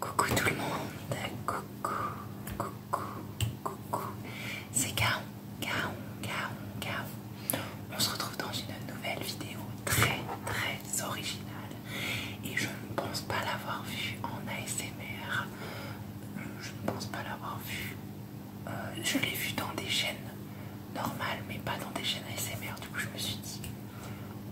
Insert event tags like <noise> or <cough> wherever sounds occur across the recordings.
Coucou tout le monde, coucou, coucou, coucou, c'est Gaon, Gaon, Gaon, Gaon On se retrouve dans une nouvelle vidéo très très originale et je ne pense pas l'avoir vue en ASMR, je ne pense pas l'avoir vue, euh, je l'ai vue dans des chaînes normales mais pas dans des chaînes ASMR, du coup je me suis dit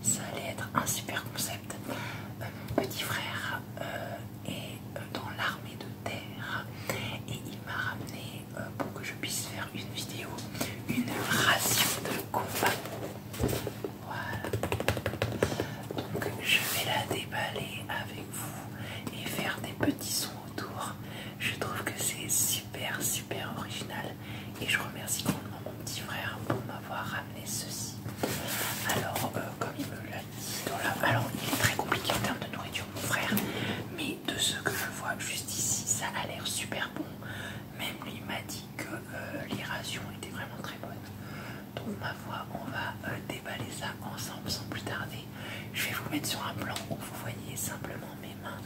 ça allait être un super concept. Euh, mon petit frère euh, est euh, dans l'armée de terre et il m'a ramené pour que je puisse faire une vidéo, une ration de combat. Voilà. Donc je vais la déballer avec vous et faire des petits sons autour. Je trouve que c'est super super original et je remercie grandement mon petit frère pour m'avoir ramener ceci. Alors, euh, comme il me l'a dit Alors, il est très compliqué en termes de nourriture, mon frère, mais de ce que je vois juste ici, ça a l'air super bon. Même lui m'a dit que euh, les rations étaient vraiment très bonnes. Donc, ma voix, on va euh, déballer ça ensemble sans plus tarder. Je vais vous mettre sur un plan où vous voyez simplement mes mains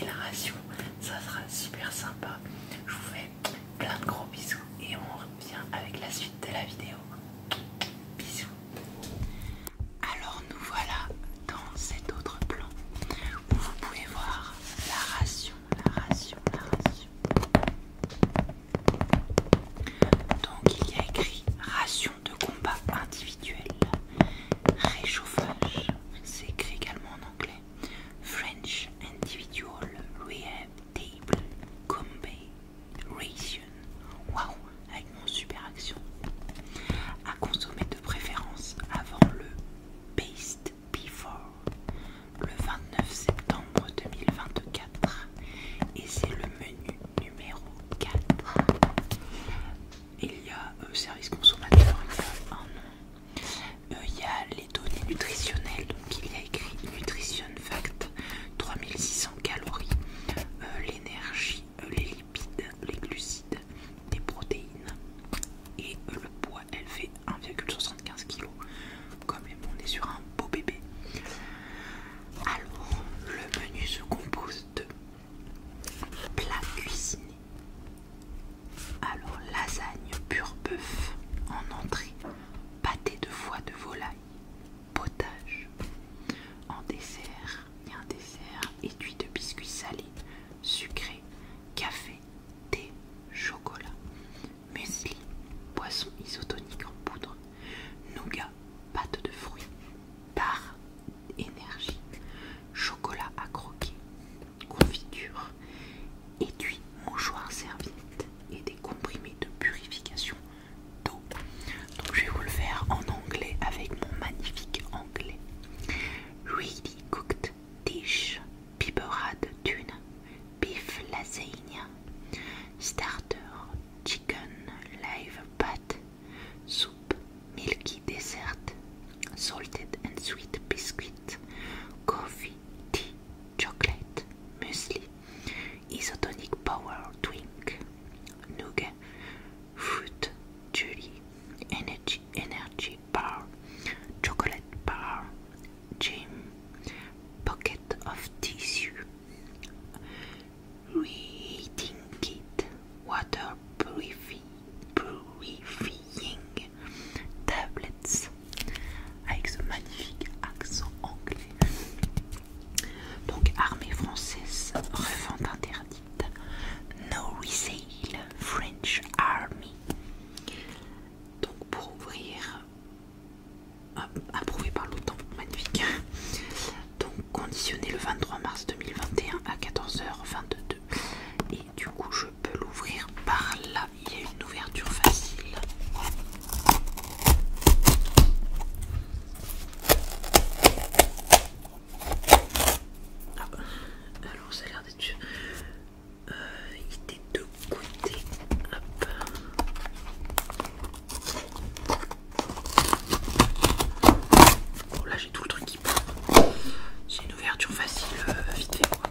et la ration. Ça sera super sympa. Je vous fais plein de gros bisous et on revient avec la suite de la vidéo. Bisous. Alors nous voilà dans cet autre plan où vous pouvez voir la ration, la ration, la ration. Donc il y a écrit ration de combat individuel réchauffage, c'est écrit également en anglais. French Individual Rehab Table Combay Ration. Waouh, avec mon super action. À consommer de préférence avant le paste Before le 29 septembre 2024 et c'est le menu numéro 4. Il y a euh, service consommateur, il y un euh, il y a les données nutritionnelles, donc il y a écrit Nutrition Fact 3600 calories, euh, l'énergie, euh, les lipides, les glucides, des protéines et le poids elle fait 1,75 kg. Quand même, on est sur un beau bébé. Alors, le menu se compose de plats cuisinés alors lasagne pur bœuf en entrée, pâté de foie de volaille, potage. En dessert, et dessert étui de biscuits salés, sucrés, café, thé, chocolat, muesli, poisson isotonique en poudre, nougat, pâte de fruits, par, énergie, chocolat à croquer, confiture, mon mouchoir, serviette et des comprimés de purification d'eau. Donc je vais vous le faire en anglais avec mon magnifique anglais. Really cooked dish, piperade tune beef lasagne, starter, chicken, live pâte soupe, milky dessert, salted and sweet biscuit, coffee, tea, chocolate, musli, isotonic power Twink, nougat, fruit, jelly, energy, energy bar, chocolate bar, gym, pocket of tissue, reading kit, water purifying tablets avec ce magnifique accent anglais. Donc armée française, revente interdite, no resale, French Army. Donc pour ouvrir, euh, approuvé par l'OTAN, magnifique. Donc conditionné le 23 mars 2021 à 14h22. Et du coup, je on peut l'ouvrir par là. Il y a une ouverture facile. Ah bah, alors ça a l'air d'être... Euh, il était de côté. Hop. Bon là j'ai tout le truc qui pousse. C'est une ouverture facile, euh, vite fait on va ouvrir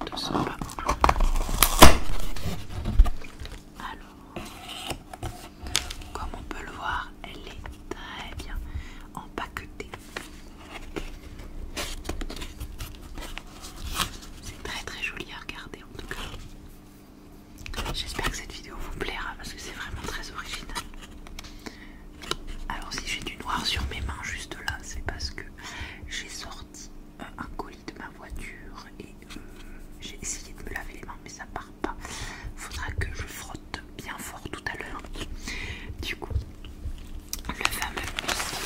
de ce pas. Alors, comme on peut le voir, elle est très bien empaqueté. C'est très très joli à regarder en tout cas. J'espère que cette vidéo vous plaira parce que c'est vraiment très original. Alors si j'ai du noir sur mes mains juste là, c'est parce que j'ai sorti euh, un colis de ma voiture et euh, j'ai essayé de me laver les mains mais ça part pas. Faudra que je frotte bien fort tout à l'heure. Du coup, le fameux biscuit.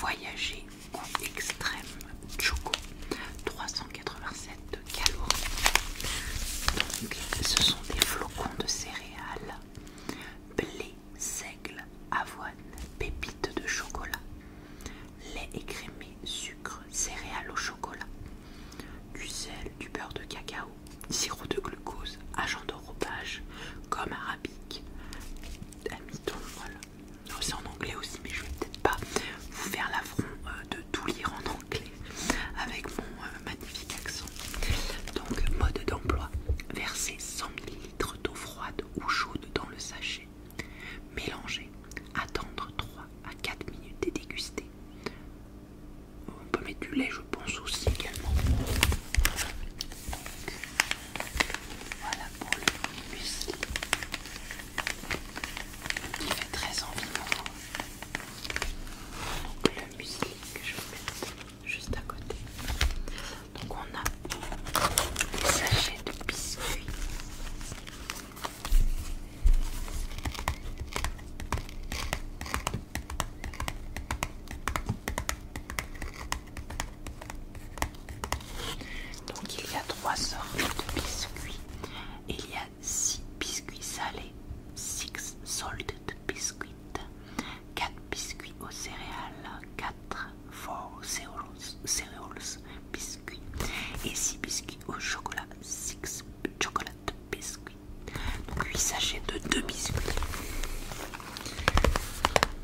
voyager En extrême choco 387 calories. Donc, ce sont des flocons de céréales blé seigle, avoine, pépites de chocolat, lait écrémé, sucre, céréales au chocolat, du sel, du beurre de cacao, sirop de glucose, agent d'enrobage, gomme arabique, amidon, voilà. C'est en anglais aussi, mais je vais peut-être pas vous faire l'affront euh, de tout lire en anglais avec mon euh, magnifique accent. Donc, mode d'emploi, verser 100 ml d'eau froide ou chaude dans le sachet. Mélanger, attendre 3 à 4 minutes et déguster. On peut mettre du lait, je pense aussi également. Voilà pour le muesli. Il fait très envie Donc le que je vais mettre juste à côté. Donc on a des sachets de biscuits. Donc il y a trois sortes de biscuits. Il y a six biscuits salés, six de biscuits. 4 biscuits aux céréales, 4 four cereals, biscuits et 6 biscuits au chocolat, 6 chocolates biscuits. Donc 8 sachets de 2 biscuits.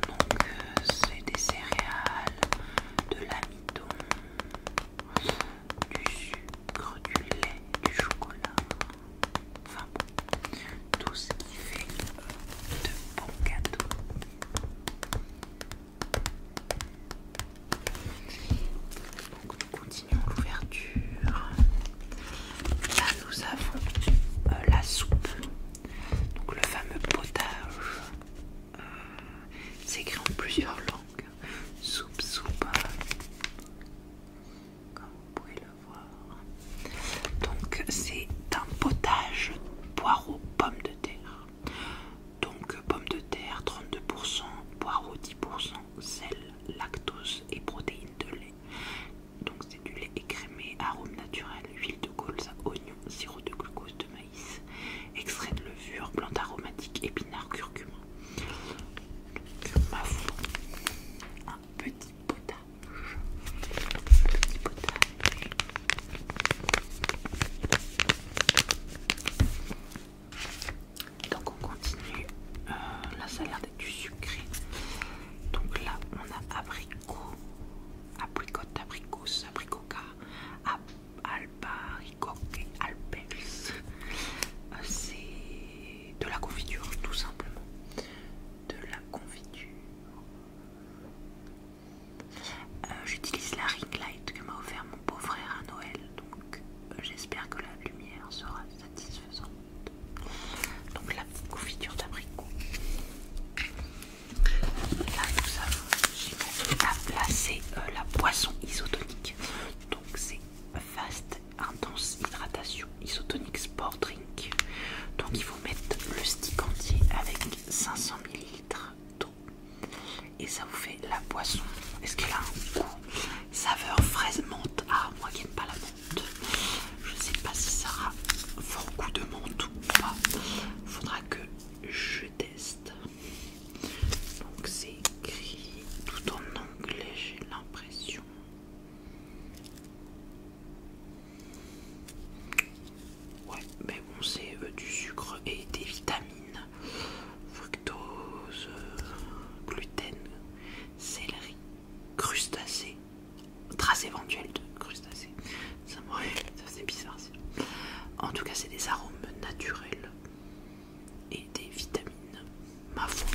Donc euh, c'est des céréales, de l'amidon, du sucre, du lait, du chocolat, Enfin bon, tout ce qui fait euh, de bons cadeaux. Donc nous continuons l'ouverture. Là nous avons euh, la soupe, donc le fameux potage. Euh, c'est écrit en plusieurs langues. Soupe, soupe. Comme vous donc c'est un potage poireaux pommes de terre. Donc pommes de terre 32%, poireaux 10%, sel, lactose et protéines de lait. Donc c'est du lait écrémé, arôme naturel, huile de colza, oignon, sirop de glucose de maïs, extrait de levure, plante aromatique, épinards, curcuma. un petit potage donc on continue. Euh, la là ça a l'air d'être du sucré. Donc là on a abricot, apricot, abricos, abricoca, albaricoque, alpex. Euh, c'est de la confiture tout simplement de la confiture. Euh, j'utilise la ring light que m'a offert mon beau frère à Noël, donc euh, j'espère que la lumière sera satisfaisante. Donc la confiture d'abricot. Là nous avons à placer euh, la boisson isotonique. Donc c'est Fast intense hydratation isotonique sport drink. Donc il faut mettre le stick entier avec 500 ml d'eau et ça vous fait la boisson. Est-ce qu'elle a un goût saveur fraise menthe Ah moi qui n'aime pas la menthe, je sais pas si ça aura fort goût de menthe ou pas. Faudra que je teste. Donc c'est écrit tout en anglais j'ai l'impression. Ouais, mais bon, c'est euh, du sucre et des vitamines, fructose, euh, gluten, céleri, crustacés, Trace éventuelles de crustacés. Ça c'est bizarre. En tout cas, c'est des arômes naturels et des vitamines ma foi.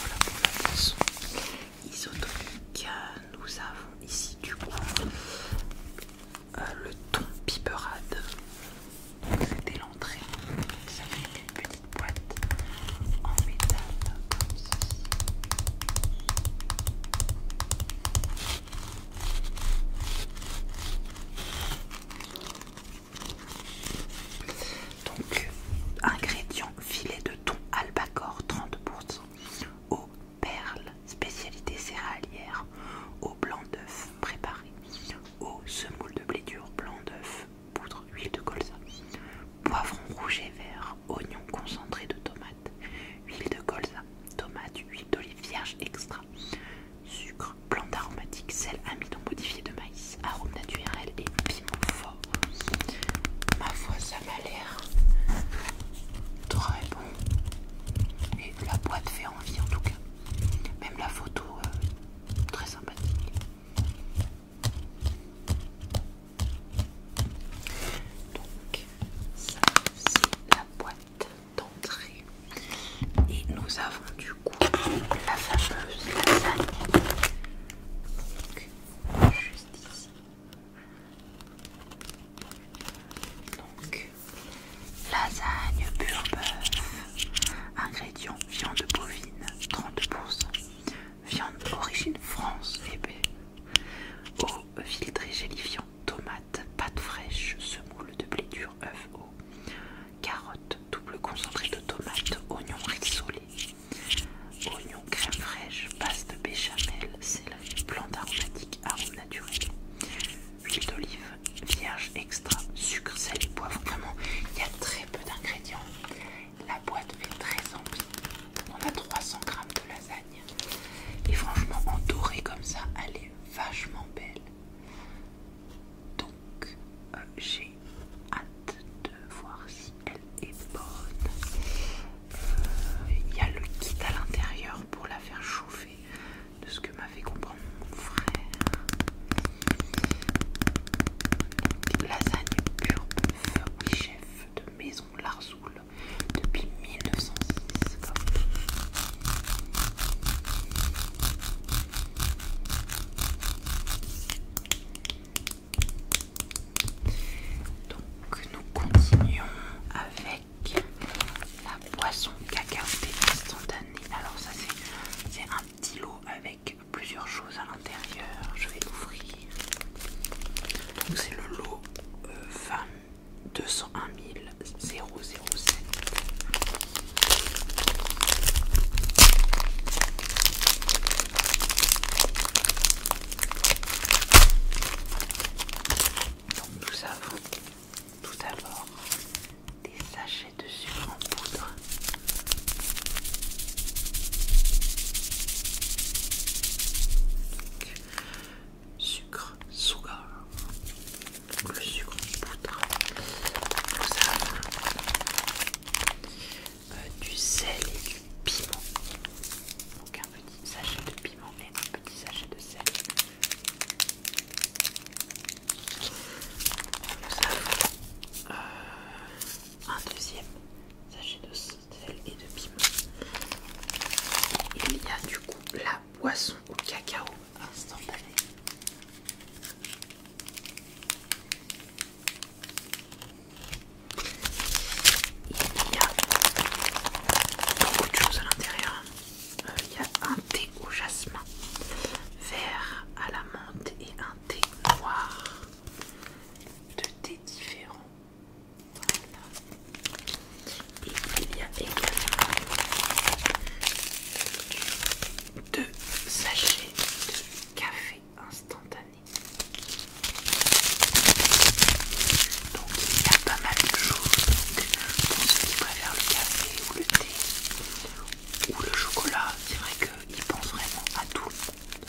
Voilà pour la boisson isotonique. Nous avons ici du coup euh, le ton piperade c'était l'entrée. Ça fait une petite boîte en métal Donc, ingrédients filet de thon albacore 30%, eau perle, spécialité céréalière, au blanc d'œuf préparé eau semoule de blé dur blanc d'œuf, poudre huile de colza, poivron rouge et vert, oignon concentré de tomate, huile de colza, tomate, huile d'olive vierge extra, sucre, plante aromatique, sel, amidon modifié de maïs, arôme naturel et piment fort. Ma foi, ça m'a l'air très bon. Et la boîte fait envie en tout cas. Même la photo euh, très sympathique. Donc, ça c'est la boîte d'entrée. Et nous avons du coup la fameuse lasagne. Donc, juste ici. Donc, lasagne pure Ingrédients viande bovine 30%, viande origine France épais, eh ben. eau filtrée gélifiant, tomates, pâte fraîche, semoule de blé dur, œuf, eau, carotte, double concentré de tomates, oignons rissolé, oignons crème fraîche, de béchamel, céleri, plante aromatique, arôme naturel, huile d'olive, vierge extra, sucre, sel et poivre. Vraiment, il y a très peu d'ingrédients. La boîte fait très envie. On a 300 grammes de lasagne. Et franchement, en doré comme ça, elle est vachement belle. Donc, euh, j'ai hâte de voir si elle est bonne. Euh, il y a le kit à l'intérieur pour la faire chauffer de ce que m'a fait comprendre mon frère. Lasagne pure bœuf, chef de maison Larsoul depuis 1906. Donc nous continuons avec la boisson cacao instantanée. Alors ça c'est petit lot avec plusieurs choses à l'intérieur. Je vais l'ouvrir. Donc c'est le lot Femme euh, Donc nous avons tout d'abord des sachets de sucre en poudre. sucre, sugar, le sucre en poudre. Euh, du sel et du piment. Donc un petit sachet de piment et un petit sachet de sel. Euh, un deuxième sachet de sel et de piment. Il y a du coup la boisson au cacao instantané. Il y a beaucoup de choses à l'intérieur il y a un thé au jasmin vert à la menthe et un thé noir. Deux thés différents. Voilà. Et il y a également deux sachets de café instantané. Donc il y a pas mal de choses pour ceux qui préfèrent le café ou le thé. Ou le chocolat, c'est vrai qu'il pense vraiment à tout le monde.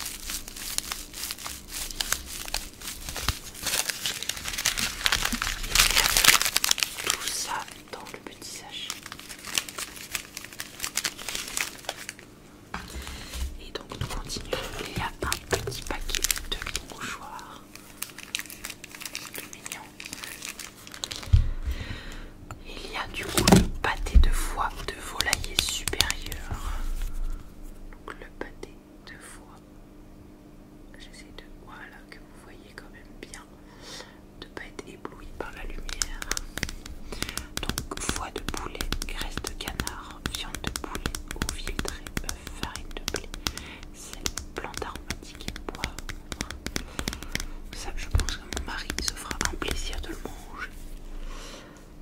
Tout ça dans le petit sachet. Et donc nous continuons. Il y a un petit paquet de mouchoirs. Tout mignon. Il y a du coup le pâté de foie de volailler supérieur. Donc le pâté de foie. J'essaie de... Voilà, que vous voyez quand même bien. De ne pas être ébloui par la lumière. Donc foie de poulet, graisse de canard, viande de poulet, eau filtrée, farine de blé, c'est une plante aromatique et bois. Ça, je pense que mon mari se fera un plaisir de le manger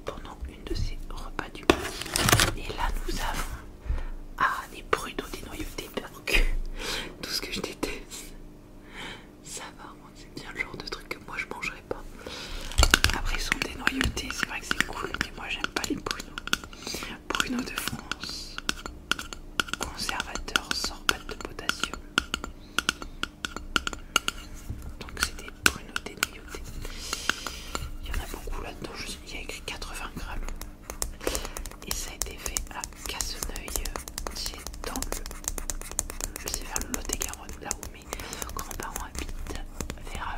pendant une de ses repas du midi. Et là, nous avons ah, des bruno des noyautés, des <laughs> tout ce que je déteste. Ça va, c'est bien le genre de truc que moi je mangerais pas. Après, ils sont des noyautés, c'est vrai que c'est cool, mais moi j'aime pas les bruno. Bruno de France, conservateur sans sorbate de potassium. Donc c'était des brunotés Il y en a beaucoup là-dedans, il y a écrit 80 grammes. Et ça a été fait à Casseneuil, C'est dans le. C'est vers le Lot-et-Garonne, là où mes grands-parents habitent, vers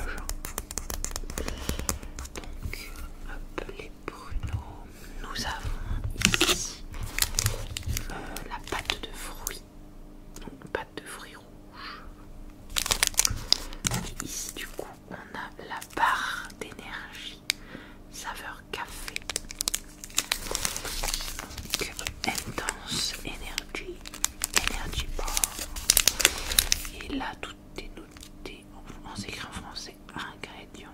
Donc, hop, Bruno, nous avons ici euh, la pâte de fruits, donc pâte de fruits rouges. ici, du coup, on a la barre d'énergie saveur café. Donc, intense énergie, énergie bar. Et là, tout est noté. On s'écrit en français ingrédients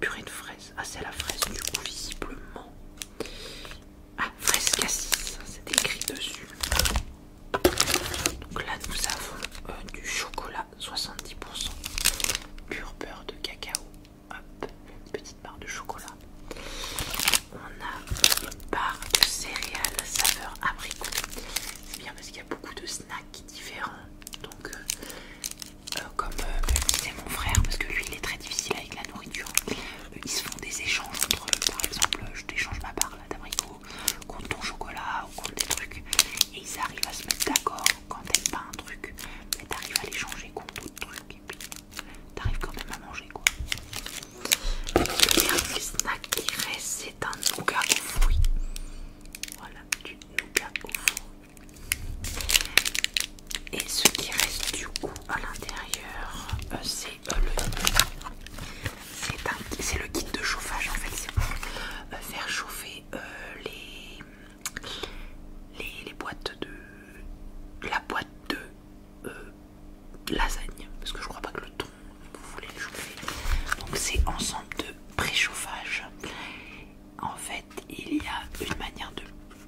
Purée de fraise. Ah, c'est la fraise du coup, visiblement. Ah, fraise cassis, c'est écrit dessus. Donc là, nous avons euh, du chocolat 70%. Pur beurre de cacao. Hop, petite barre de chocolat. On a une barre de céréales saveur abricot. C'est bien parce qu'il y a beaucoup de snacks différents. Donc, euh, euh, comme euh, c'est mon frère, parce que lui il est très difficile avec la nourriture. Euh, ils se font des échanges entre eux, par exemple, je t'échange ma barre d'abricot contre ton chocolat ou contre des trucs, et ils arrivent à se mettre d'accord quand t'aimes pas un truc, mais t'arrives à l'échanger contre d'autres trucs, et puis t'arrives quand même à manger quoi. Le dernier snack qui reste, c'est un nougat aux fruits. Voilà, du nougat aux fruits. Et ce qui reste du coup à l'intérieur, euh, c'est euh, le c'est le kit de chauffage en fait, c'est pour euh, faire chauffer les, les, boîtes de la boîte de lasagne, parce que je crois pas que le ton vous voulez le chauffer. Donc c'est ensemble de préchauffage. En fait, il y a une manière de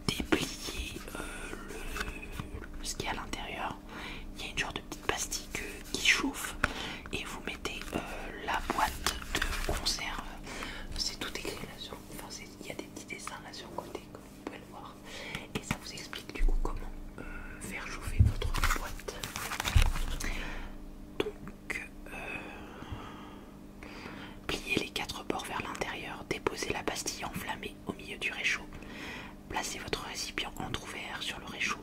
déplier euh, ce qu'il y a à l'intérieur. Il y a une genre de petite pastille qui chauffe et vous mettez euh, la boîte de conserve. C'est tout écrit là sur. Enfin, il y a des petits dessins là sur le côté comme vous pouvez le voir. Et ça vous explique du coup comment euh, faire chauffer votre boîte donc euh, pliez les quatre bords vers l'intérieur, déposez la pastille enflammée au milieu du réchaud, placez votre récipient entrouvert sur le réchaud,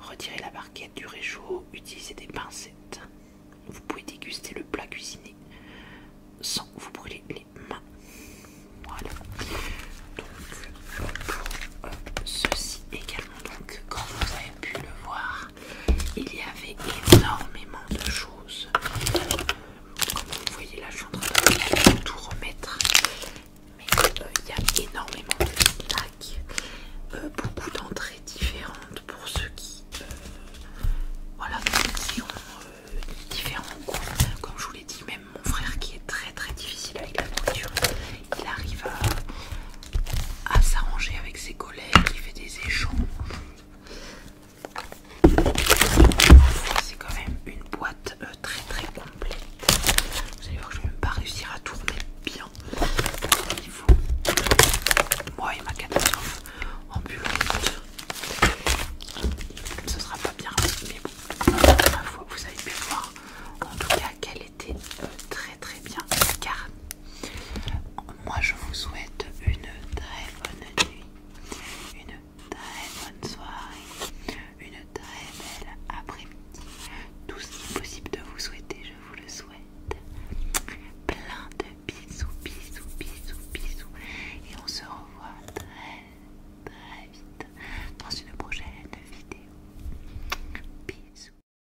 retirez la barquette du réchaud, utilisez des pincettes. Vous pouvez déguster le plat cuisiné sans vous brûler les mains. Voilà. Donc ceci également, comme vous avez pu le voir, il y avait énormément de choses. Comme vous voyez là, je suis en train de tout remettre. Mais euh, il y a énormément de plaques, euh, beaucoup d'entrées différentes pour ceux qui, euh, ont différents goûts. Comme je vous l'ai dit, même mon frère qui est très très difficile avec la nourriture, il arrive à, à s'arranger avec ses collègues, qui fait des échanges. C'est quand même une boîte euh, très très complète. Vous allez voir que je vais même pas réussir à tourner bien il Moi et ma catastrophe ambulante. Ce sera pas bien, mais bon, vous avez pu voir en tout cas qu'elle était euh, très très bien Car moi je vous souhaite une très bonne nuit, une très bonne soirée, une très belle après-midi. Tout ce qui est possible de vous souhaiter, je vous le souhaite. Plein de bisous, bisous, bisous, bisous. Et on se revoit très, très vite dans une prochaine vidéo. Bisous.